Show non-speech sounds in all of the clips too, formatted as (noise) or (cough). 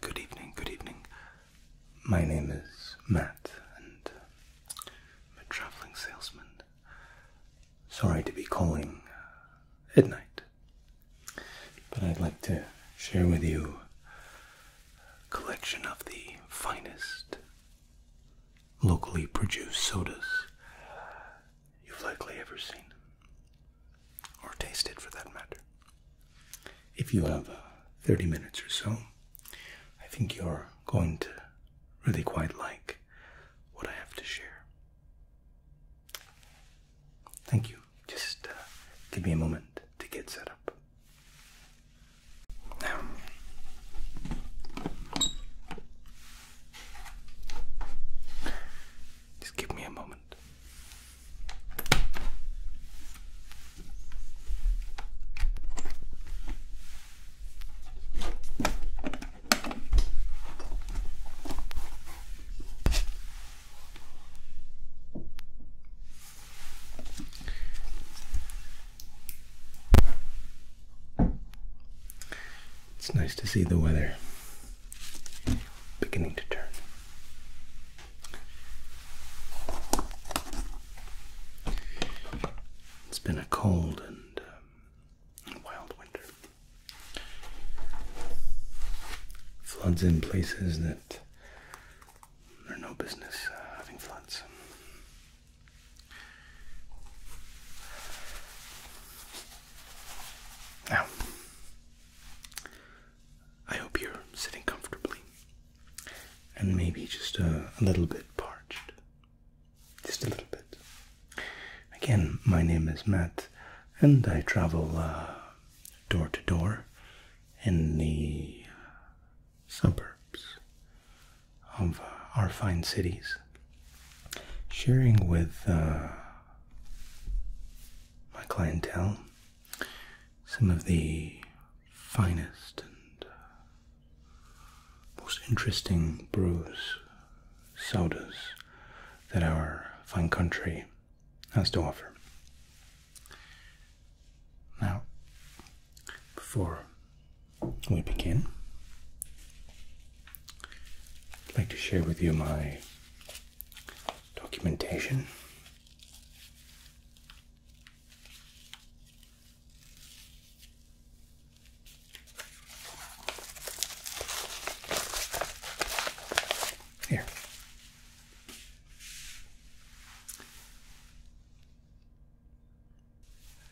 Good evening, good evening. My name is Matt, and I'm a traveling salesman. Sorry to be calling uh, at night, but I'd like to share with you a collection of the finest locally produced sodas you've likely ever seen, or tasted for that matter. If you have uh, 30 minutes or so, I think you're going to really quite like what I have to share. Thank you. Just uh, give me a moment to get set up. Now, just give me a moment. It's nice to see the weather beginning to turn. It's been a cold and um, wild winter. Floods in places that are no business uh, having floods. Now, I hope you're sitting comfortably and maybe just uh, a, little bit parched. Just a little bit. Again, my name is Matt and I travel uh, door to door in the suburbs of uh, our fine cities, sharing with my clientele some of the finest and uh, most interesting brews, sodas that our fine country has to offer. Now, before we begin, I'd like to share with you my documentation. Here.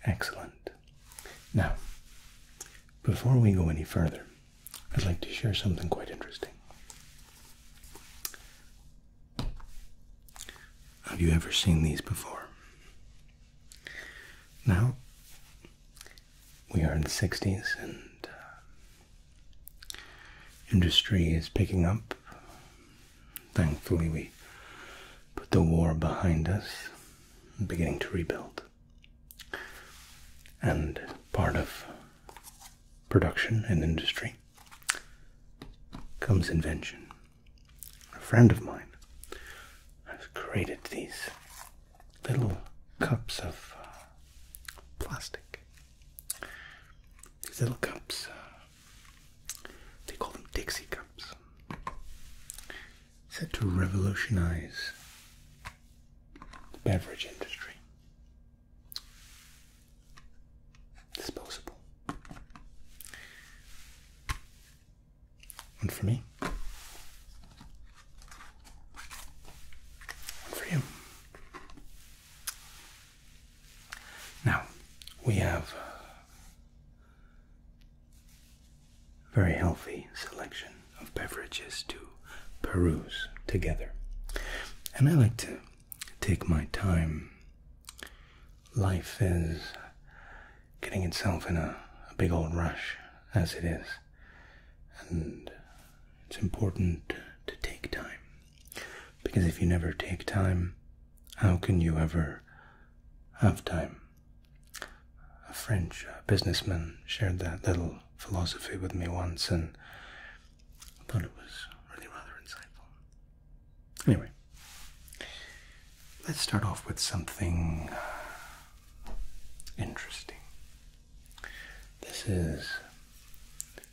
Excellent. Now, before we go any further, I'd like to share something quite interesting. Have you ever seen these before? Now, we are in the 60s and uh, industry is picking up. Thankfully, we put the war behind us and beginning to rebuild and part of production and industry comes invention. A friend of mine has created these little cups of uh, plastic. These little cups, uh, they call them Dixie cups, said to revolutionize the beverage industry disposable. One for me. One for you. Now, we have a very healthy selection of beverages to peruse together. And I like to take my time. Life is getting itself in a, big old rush as it is, and it's important to take time. Because if you never take time, how can you ever have time? A French uh, businessman shared that little philosophy with me once, and I thought it was really rather insightful. Anyway, let's start off with something uh, interesting. This is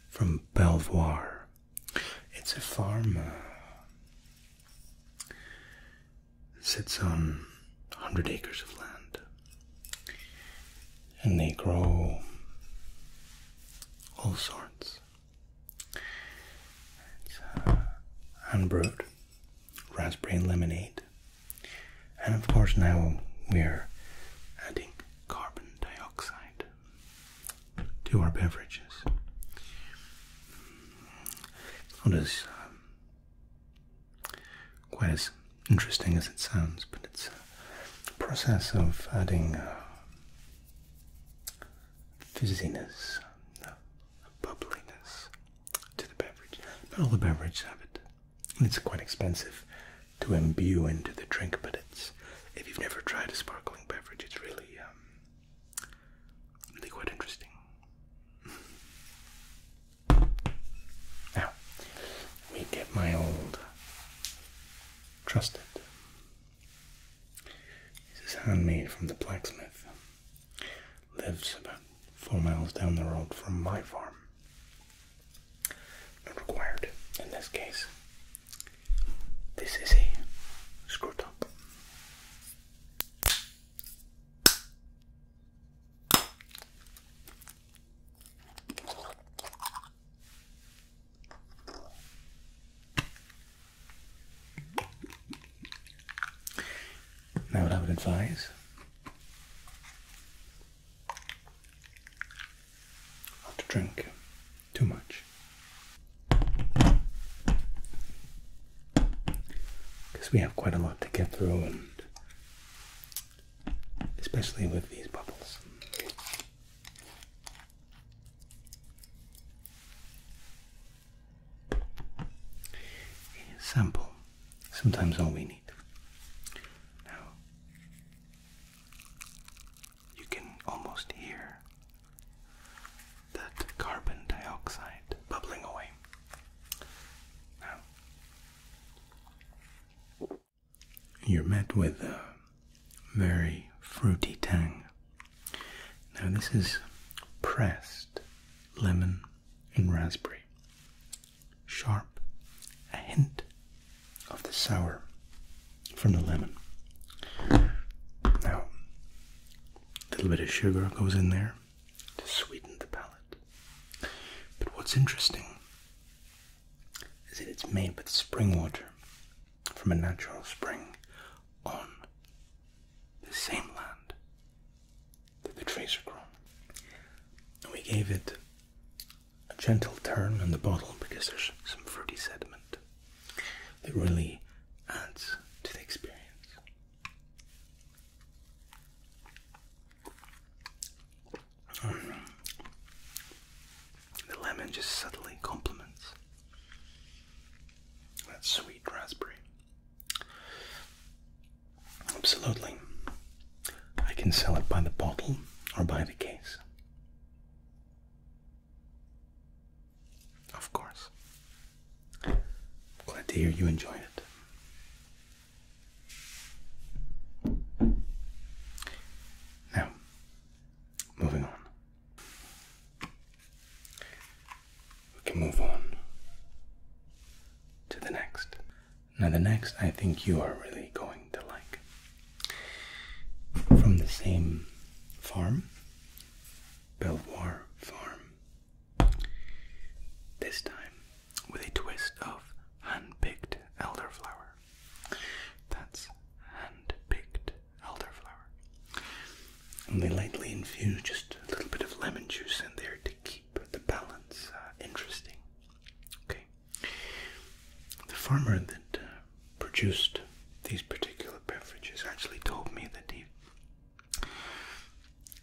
from Belvoir. It's a farm. It sits on 100 acres of land and they grow all sorts. It's uh, unbrewed raspberry lemonade, and of course, now we're adding carbon dioxide to our beverages. i quite as interesting as it sounds, but it's a process of adding uh, fizziness, uh, bubbliness to the beverage. Not all the beverages have it. And it's quite expensive to imbue into the drink, but it's if you've never tried a sparkling beverage, it's really, um, really quite interesting. (laughs) Now, let me get my old trusted. This is handmade from the blacksmith. Lives about four miles down the road from my farm. Not required in this case. This is a screw top. Now, what I would advise not to drink too much because we have quite a lot to get through especially with these bubbles. sample, sometimes all we need. Now, you can almost hear that carbon dioxide bubbling away. Now, you're met with a very fruity tang. Now, this is pressed lemon and raspberry, sharp, a hint of the sour from the lemon. Now, a little bit of sugar goes in there to sweeten the palate. But what's interesting is that it's made with spring water from a natural spring on the same land that the trees are grown. And we gave it a gentle turn in the bottle because there's some fruity sediment that really adds to the experience. The lemon just subtly complements that sweet raspberry. Absolutely. I can sell it by the bottle or by the case. Of course. Glad to hear you enjoyed it. Now, moving on. We can move on to the next. Now, the next I think you are really going to like. From the same farm, Belvoir Farm. This time with a twist of hand picked elderflower. That's hand picked elderflower. And they lightly infuse just a little bit of lemon juice in there to keep the balance uh, interesting. Okay. The farmer that uh, produced these particular beverages actually told me that he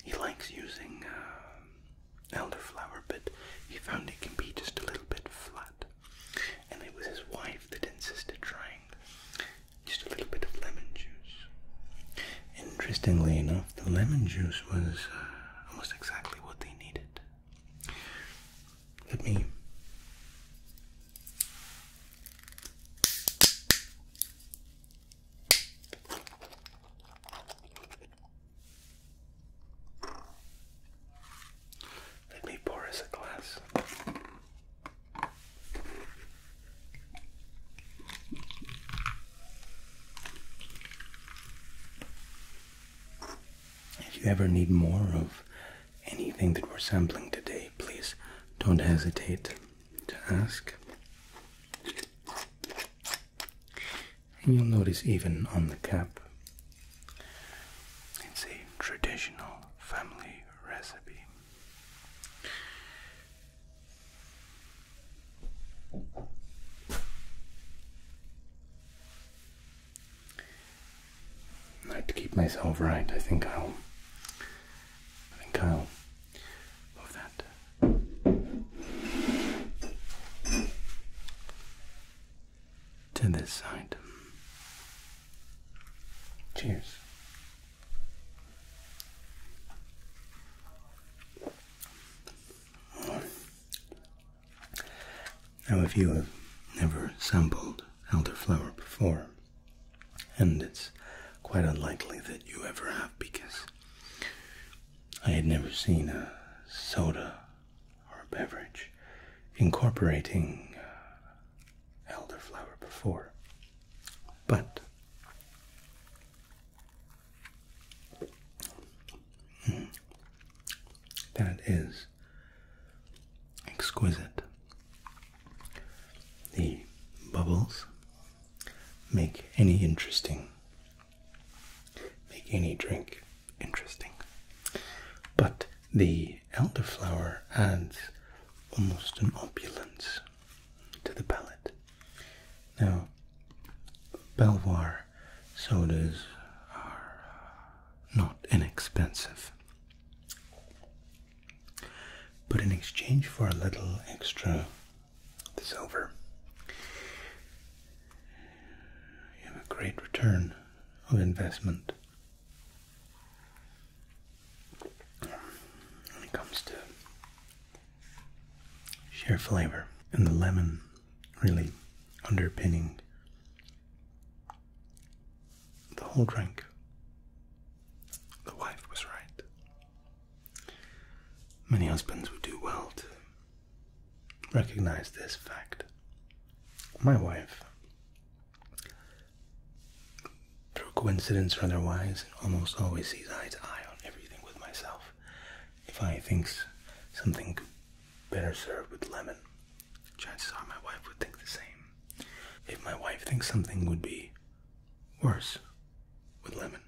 he likes using uh, elderflower, but he found it can be just a little bit flat. And it was his wife that insisted trying just a little bit of lemon juice. Interestingly enough, the lemon juice was uh, almost exactly what they needed. Let me. Let me pour us a glass. If you ever need more of anything that we're sampling today, please don't hesitate to ask and you'll notice even on the cap it's a traditional family recipe. I to keep myself right, I think I'll I think I'll move that to this side. Cheers. Now, if you have never sampled elderflower before, and it's quite unlikely that you ever have because I had never seen a soda or beverage incorporating uh, elderflower before, but hmm, that is exquisite. The bubbles make any interesting, make any drink interesting. But the elderflower adds almost an opulence to the palate. Now, Belvoir sodas are not inexpensive. But in exchange for a little extra silver, you have a great return of investment when it comes to sheer flavor and the lemon really underpinning the whole drink. The wife was right. Many husbands would do well to recognize this fact. My wife, through coincidence or otherwise, almost always sees eye to eye on everything with myself. If I think something better served with lemon, chances are my wife would think the same. If my wife thinks something would be worse with lemon,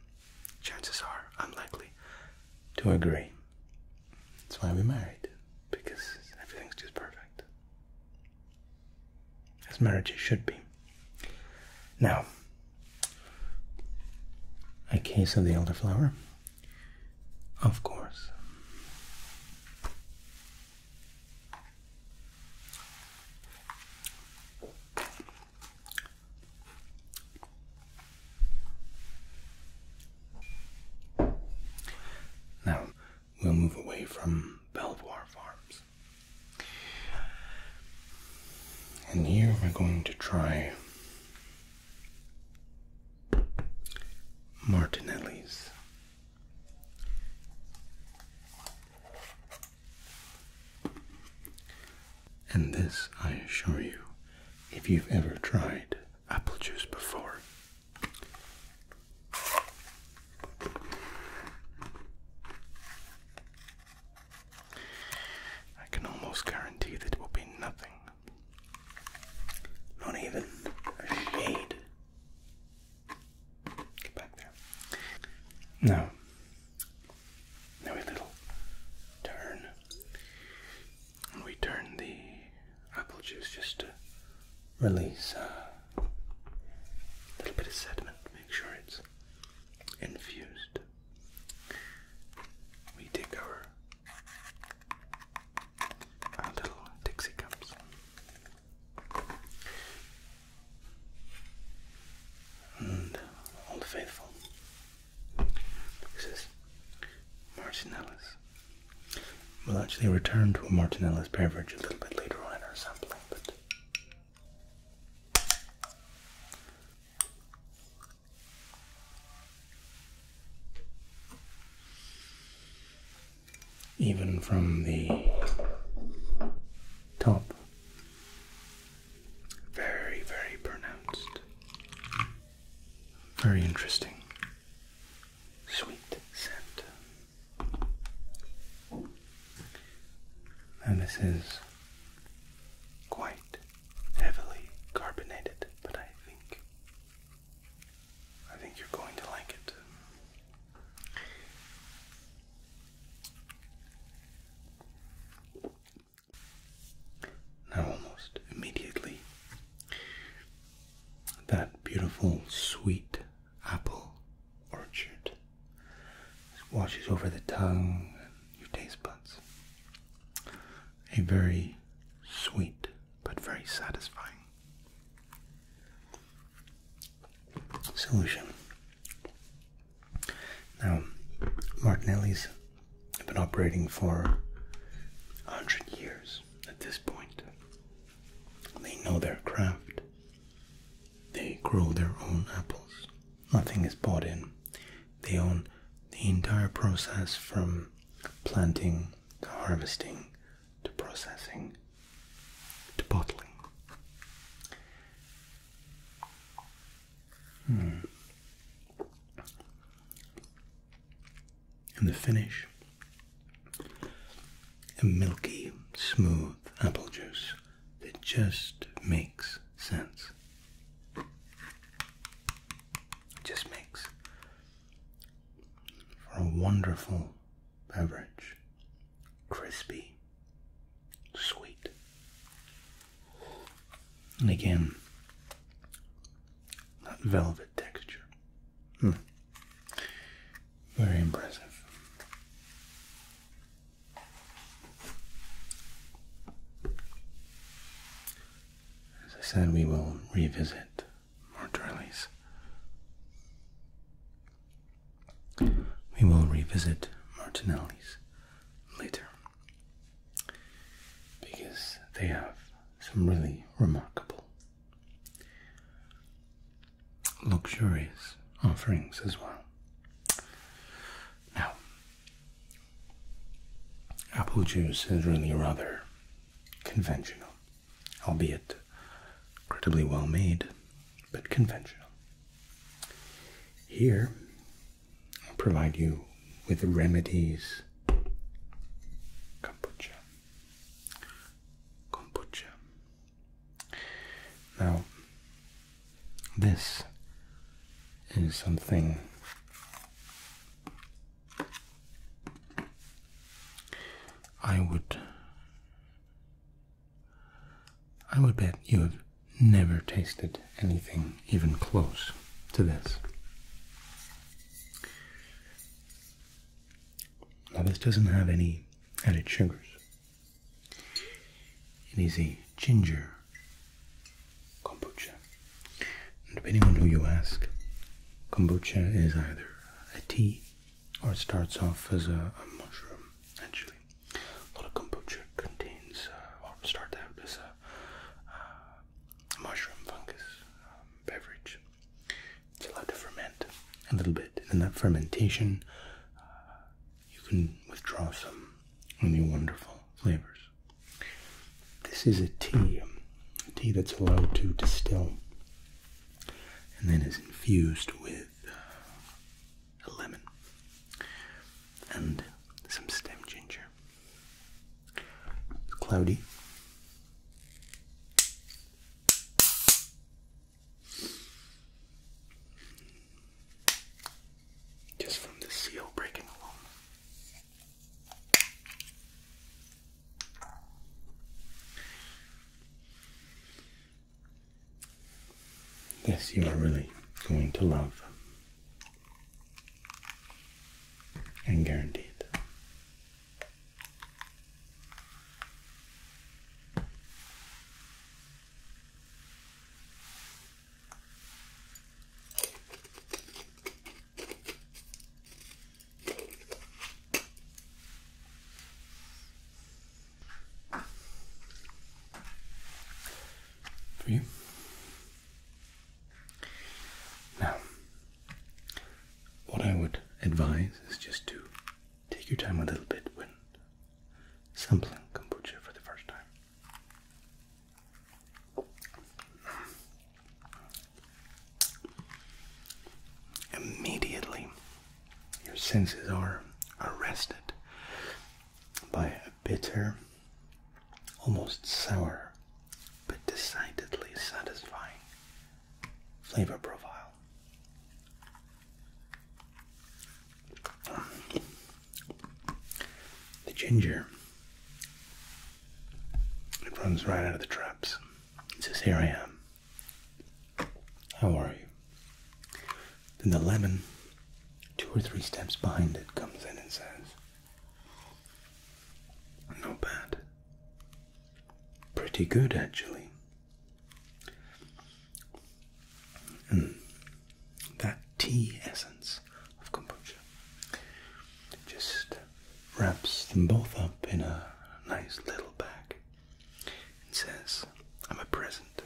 chances are I'm likely to agree. That's why we married because everything's just perfect. As marriages should be. Now, a case of the elderflower, of course. Now, we'll move away from Belvoir Farms. And here we're going to try Martinelli's. And this, I assure you, if you've ever tried apple juice before. I can almost guarantee that it will be nothing. Not even a shade. Get back there. Now, now a little turn and we turn the apple juice just to release a little bit of sediment, make sure it's infused. We take our, our little Dixie cups. And all the faithful. This is Martin We'll actually return to a Martinella's beverage a little bit later on in our sampling, but even from the top, very, very pronounced, very interesting sweet scent. And this is quite heavily carbonated, but I think I think you're going to like it. Now, almost immediately, that beautiful sweet apple orchard. washes over the tongue and your taste buds. A very sweet but very satisfying solution. Now, Martinelli's have been operating for 100 years at this point. They know their craft. They grow their own apples. Nothing is bought in. They own the entire process from planting to harvesting to processing to bottling. Hmm and the finish a milky, smooth apple juice that just makes sense. just makes for a wonderful beverage, crispy, sweet. And again, that velvet texture, Hmm. Very impressive. As I said, we will revisit Martorelli's. We will revisit Martinelli's later because they have some really remarkable luxurious offerings as well. Now, apple juice is really rather conventional, albeit incredibly well made, but conventional. Here, I'll provide you with remedies kombucha kombucha. Now, this is something I would I would bet you have never tasted anything even close to this. Now this doesn't have any added sugars. It is a ginger kombucha. depending on who you ask, kombucha is either a tea or it starts off as a, mushroom, actually. A lot of kombucha contains, uh, or start out as a uh, mushroom fungus um, beverage it's allowed to ferment a little bit, and in that fermentation, uh, you can withdraw some really wonderful flavors. This is a tea, a um, tea that's allowed to distill, and then is infused with uh, a lemon and some stem ginger. It's cloudy. Just from the seal breaking along. This you are really going to love and guaranteed. For you. Now, what I would advise is just to take your time a little bit when sampling kombucha for the first time. Immediately, your senses are arrested by a bitter, almost sour, but decidedly satisfying flavor profile. The ginger, it runs right out of the traps. It says, Here I am. How are you? Then the lemon, two or three steps behind it, comes in and says, No bad pretty good actually. Mm. That tea essence of kombucha just wraps them both up in a nice little bag and says, I'm a present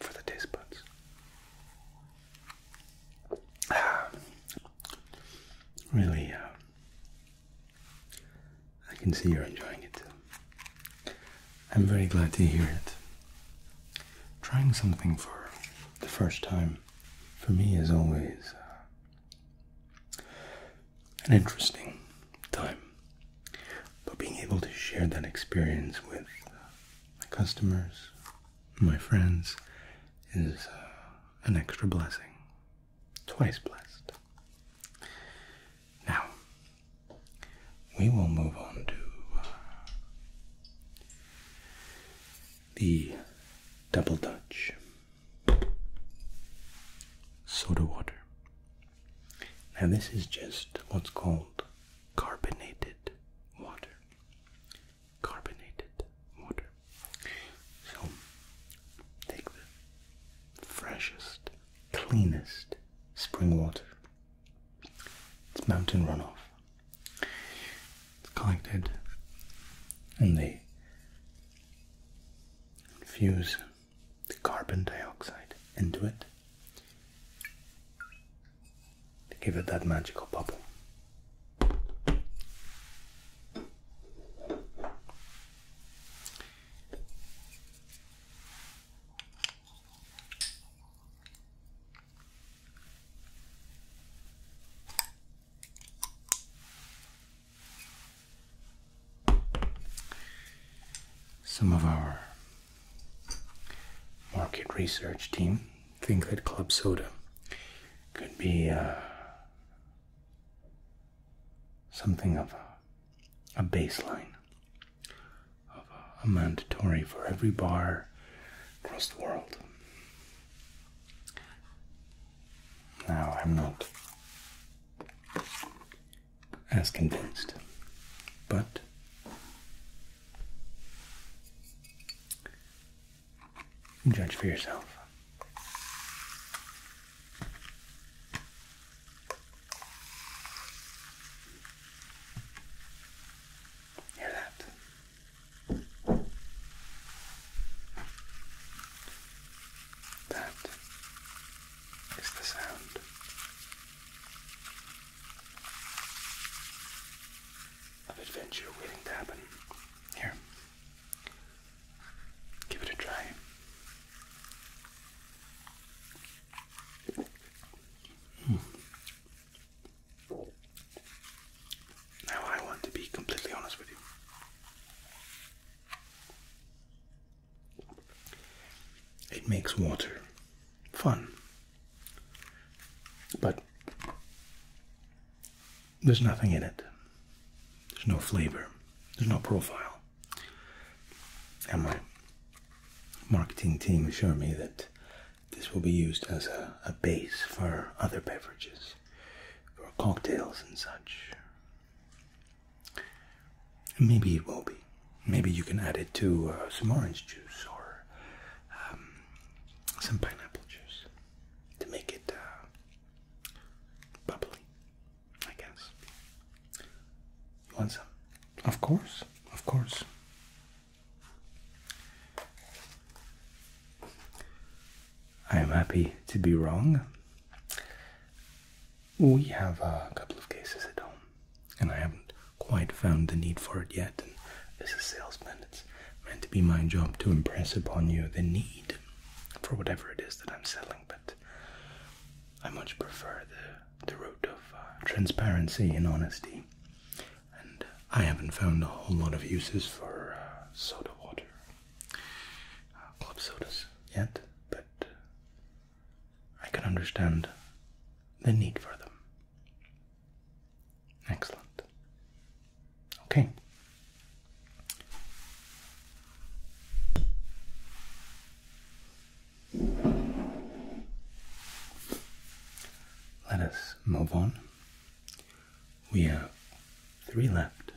for the taste buds. Ah. really uh, I can see you're enjoying it. I'm very glad to hear it. Trying something for the first time for me is always uh, an interesting time. But being able to share that experience with uh, my customers, my friends, is uh, an extra blessing twice blessed. Now, we will move on to uh, the double Dutch soda water. Now, this is just what's called carbonated water. Carbonated water. So, take the freshest, cleanest spring water. It's mountain runoff. It's collected and they infuse the carbon dioxide into it to give it that magical bubble. Some of our market research team think that club soda could be uh, something of a, baseline of a, a mandatory for every bar across the world. Now I'm not as convinced, but judge for yourself. Hear that? That is the sound of adventure waiting to happen here. Give it a try. Hmm. Now, I want to be completely honest with you. It makes water fun, but there's nothing in it. There's no flavor. There's no profile. And my marketing team assured me that this will be used as a, base for other beverages, for cocktails and such. Maybe it will be. Maybe you can add it to uh, some orange juice or um, some pineapple juice to make it uh, bubbly. I guess. You want Of course, of course. I am happy to be wrong. We have a couple of cases at home, and I haven't quite found the need for it yet. And as a salesman, it's meant to be my job to impress upon you the need for whatever it is that I'm selling, but I much prefer the the route of uh, transparency and honesty. And I haven't found a whole lot of uses for uh, soda water, uh, club sodas yet, but uh, I can understand the need for them. Excellent. Okay. Let us move on. We have three left.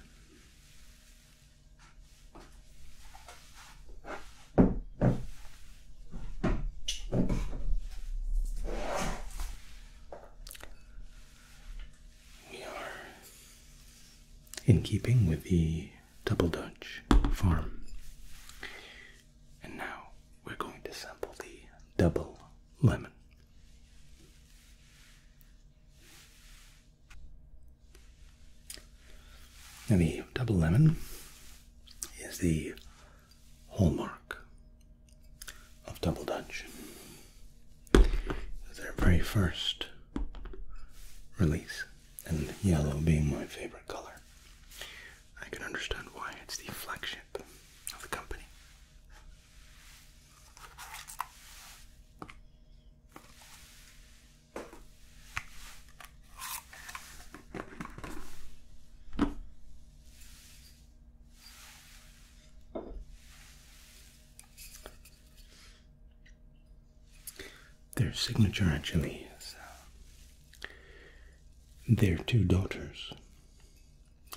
We are in keeping with the Double Dutch Farm. And now we're going to sample the double lemon. And the double lemon is the hallmark of Double Dutch. Their very first release and yellow being my favorite color. I can understand why it's the flagship of the company. Their signature actually is uh, their two daughters,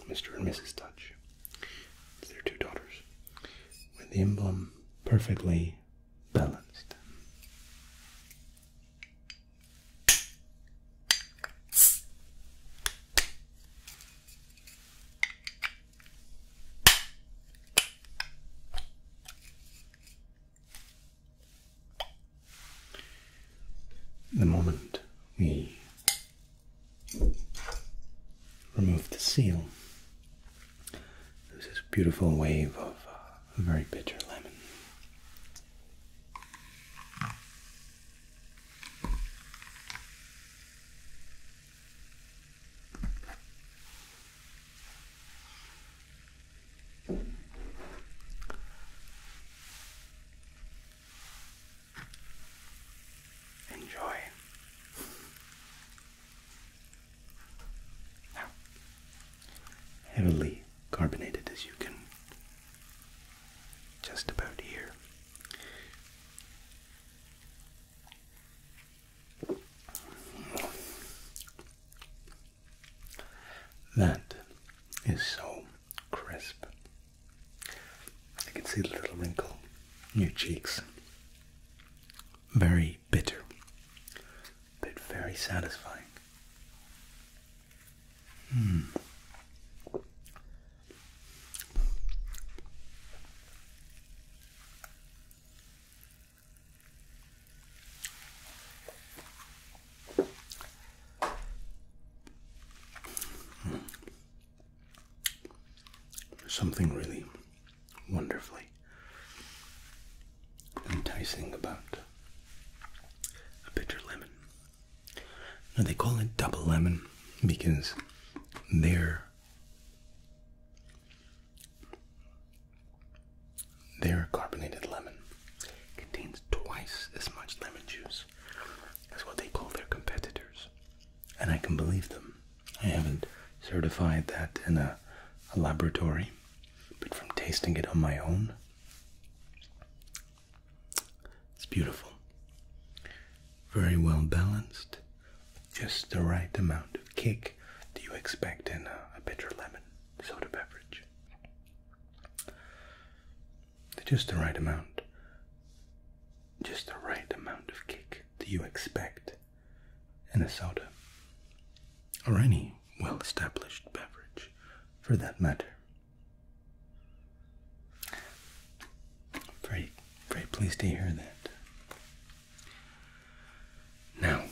Mr. and Mrs. Touch. their two daughters, with the emblem perfectly balanced. The moment we remove the seal, there's this beautiful wave of uh, very bitter lemon. Enjoy. heavily carbonated as you can just about here. That is so crisp. I can see the little wrinkle in your cheeks. Very bitter, but very satisfying. Mm. Something really wonderfully enticing about bitter lemon. Now they call it double lemon because they're. Their carbonated lemon contains twice as much lemon juice as what they call their competitors. And I can believe them. I haven't certified that in a, a laboratory, but from tasting it on my own, it's beautiful. Very well balanced, just the right amount of kick do you expect in a, bitter lemon soda beverage. Just the right amount. Just the right amount of kick do you expect in a soda or any well established beverage for that matter. Very, very pleased to hear that. Now,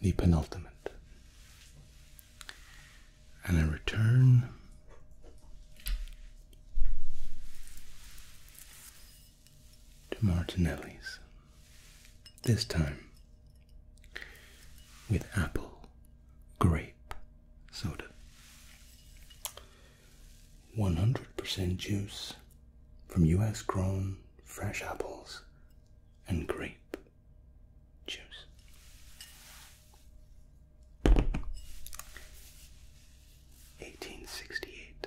the penultimate. And I return to Martinelli's, this time with apple grape soda. 100% juice from US grown fresh apples and grape juice. Eighteen sixty eight.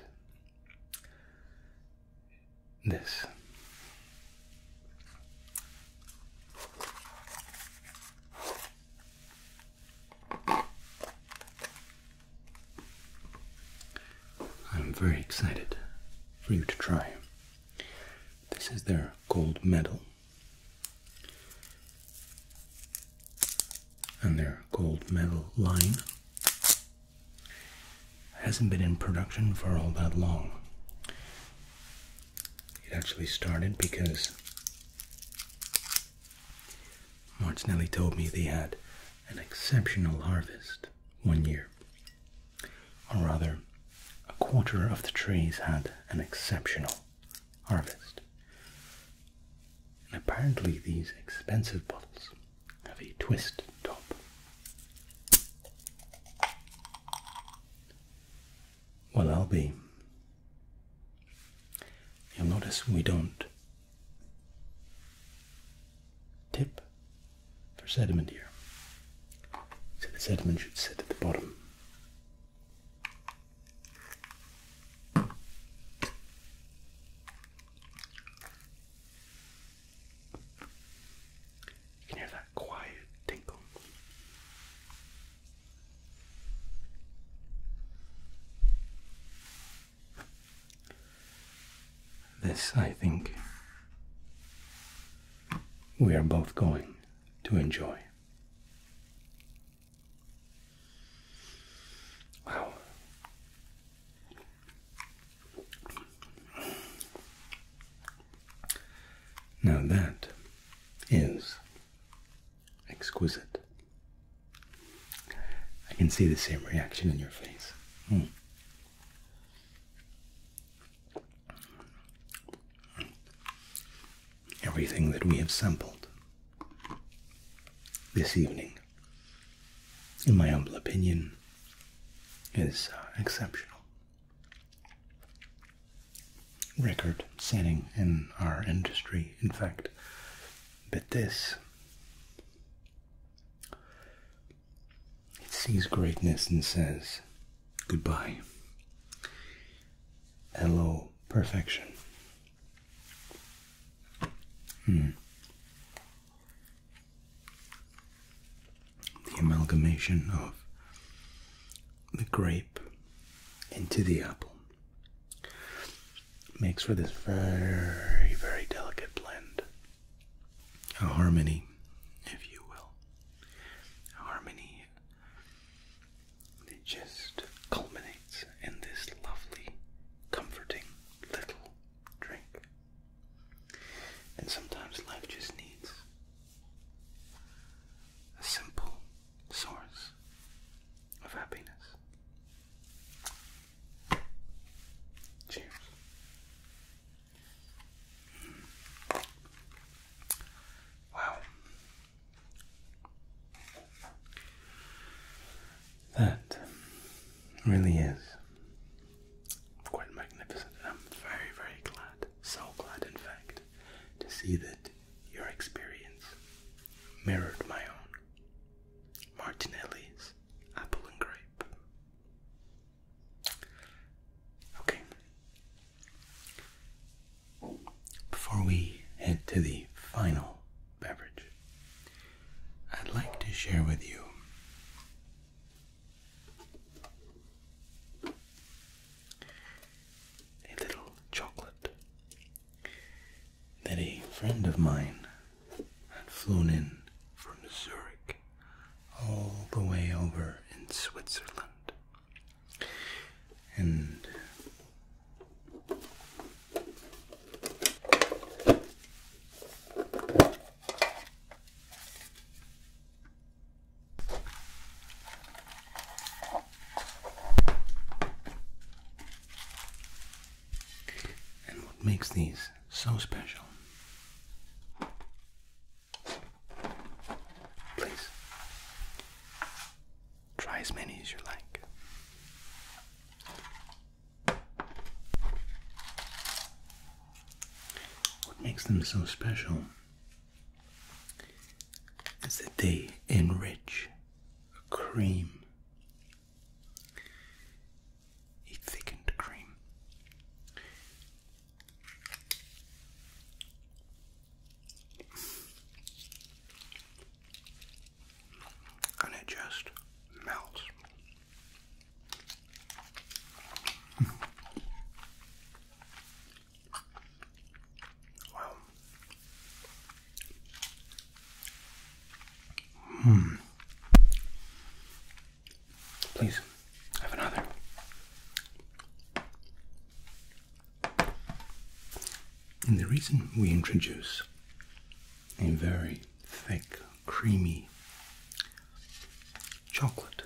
This I'm very excited for you to try. This is their gold medal and their gold medal line hasn't been in production for all that long. It actually started because Martinelli told me they had an exceptional harvest one year. Or rather, a quarter of the trees had an exceptional harvest. And apparently, these expensive bottles have a twist top. Well, I'll be You'll notice we don't tip for sediment here. So the sediment should sit at the bottom. You can hear that quiet tinkle. This, I think, we are both going to enjoy. Wow. Now that is Exquisite. I can see the same reaction in your face. Hmm. Everything that we have sampled this evening, in my humble opinion, is uh, exceptional. Record setting in our industry, in fact, but this, it sees greatness and says, Goodbye. Hello, perfection. Hmm. The amalgamation of the grape into the apple Makes for this very, very delicate blend. A harmony, if you will. harmony that just culminates in this lovely, comforting little drink. And sometimes life just needs a simple source of happiness. Cheers. Hmm. Wow. That really is quite magnificent, and I'm very, very glad, so glad in fact, to see that your experience mirrored my own. Martinelli's apple and grape. Okay. Before we head to the final beverage, I'd like to share with you a little chocolate that a friend of mine had flown in from Zurich all the way over in Switzerland. And and what makes these so special? Please try as many as you like. What makes them so special is that they enrich a cream a thickened cream. And it just melts. (laughs) wow. Hmm. Please, have another. And the reason we introduce a very thick, creamy chocolate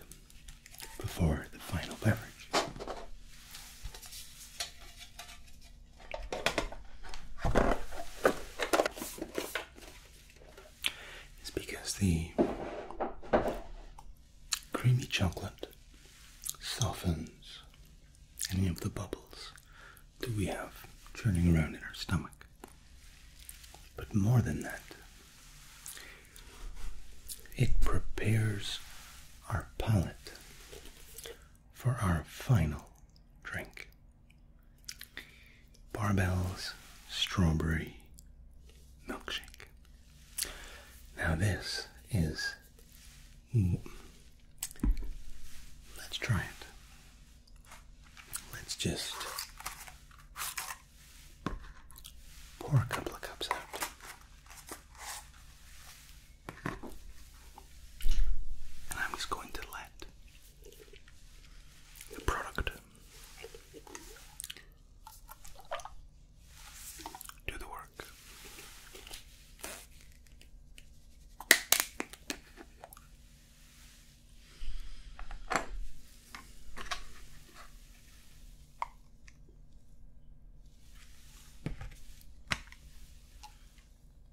before the final beverage it's because the creamy chocolate softens any of the bubbles that we have churning around in our stomach. But more than that, it prepares our palate for our final drink. Barbell's Strawberry Milkshake. Now, this is. Mm. Let's try it. Let's just pour a couple of cups out. And I'm just going to let the product do the work.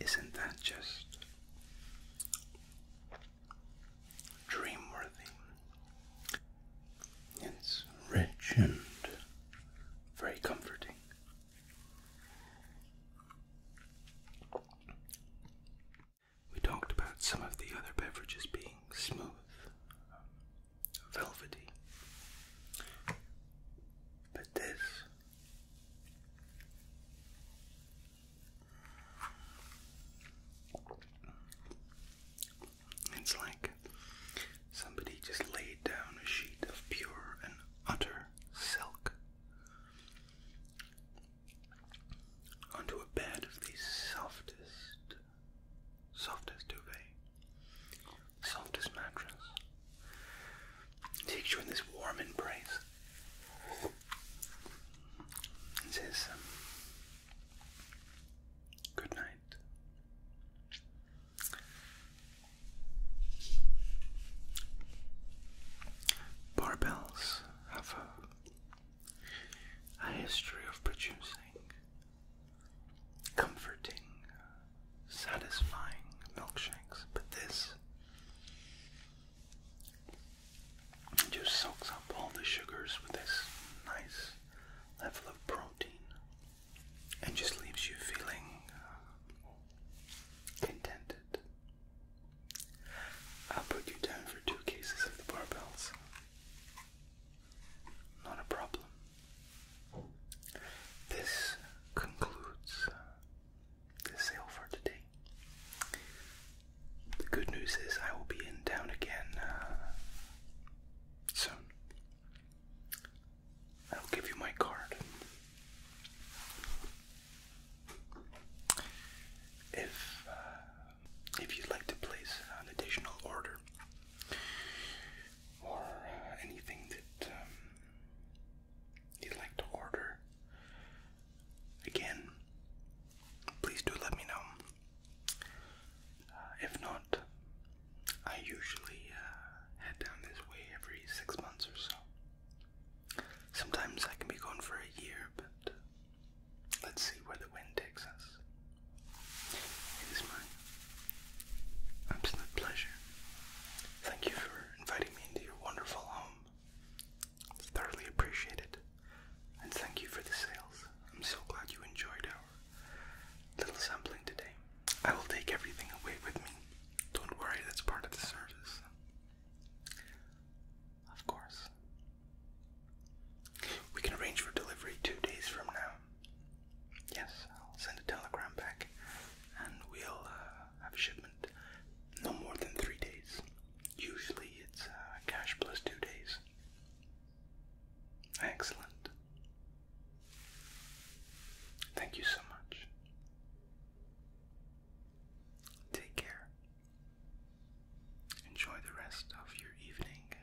Isn't that just dream worthy? It's rich and very comforting. We talked about some of the other beverages being smooth, velvety. But this it's like somebody just laid down a sheet of pure and utter silk onto a bed of the softest, softest duvet. Softest mattress takes you in this warm embrace. says, um, Good night. Barbells have a, history of producing comforting, uh, satisfying milkshakes, but this just soaks up all the sugars with this nice level of protein and just leaves you feeling uh, contented. I'll put you down for two cases of the barbells. Not a problem. This concludes the sale for today. The good news is I will be in town again uh, soon. I'll give you my card. If uh, if you'd like to place an additional order or anything that um, you'd like to order, again, please do let me know. Uh, if not, I usually uh, head down this way every six months or so. Sometimes I can be gone for a year, but uh, let's see where the wind takes us. It is mine. Absolute pleasure. Thank you for inviting me into your wonderful home. It's thoroughly appreciated. And thank you for the sales. I'm so glad you enjoyed our little sampling today. I will take everything away with me. Don't worry, that's part of the service. Of course. We can arrange for delivery two days from now. Yes, I'll send a telegram back and we'll uh, have a shipment no more than three days. Usually it's uh, cash plus two days. Excellent. Thank you so much. Take care. Enjoy the rest of your evening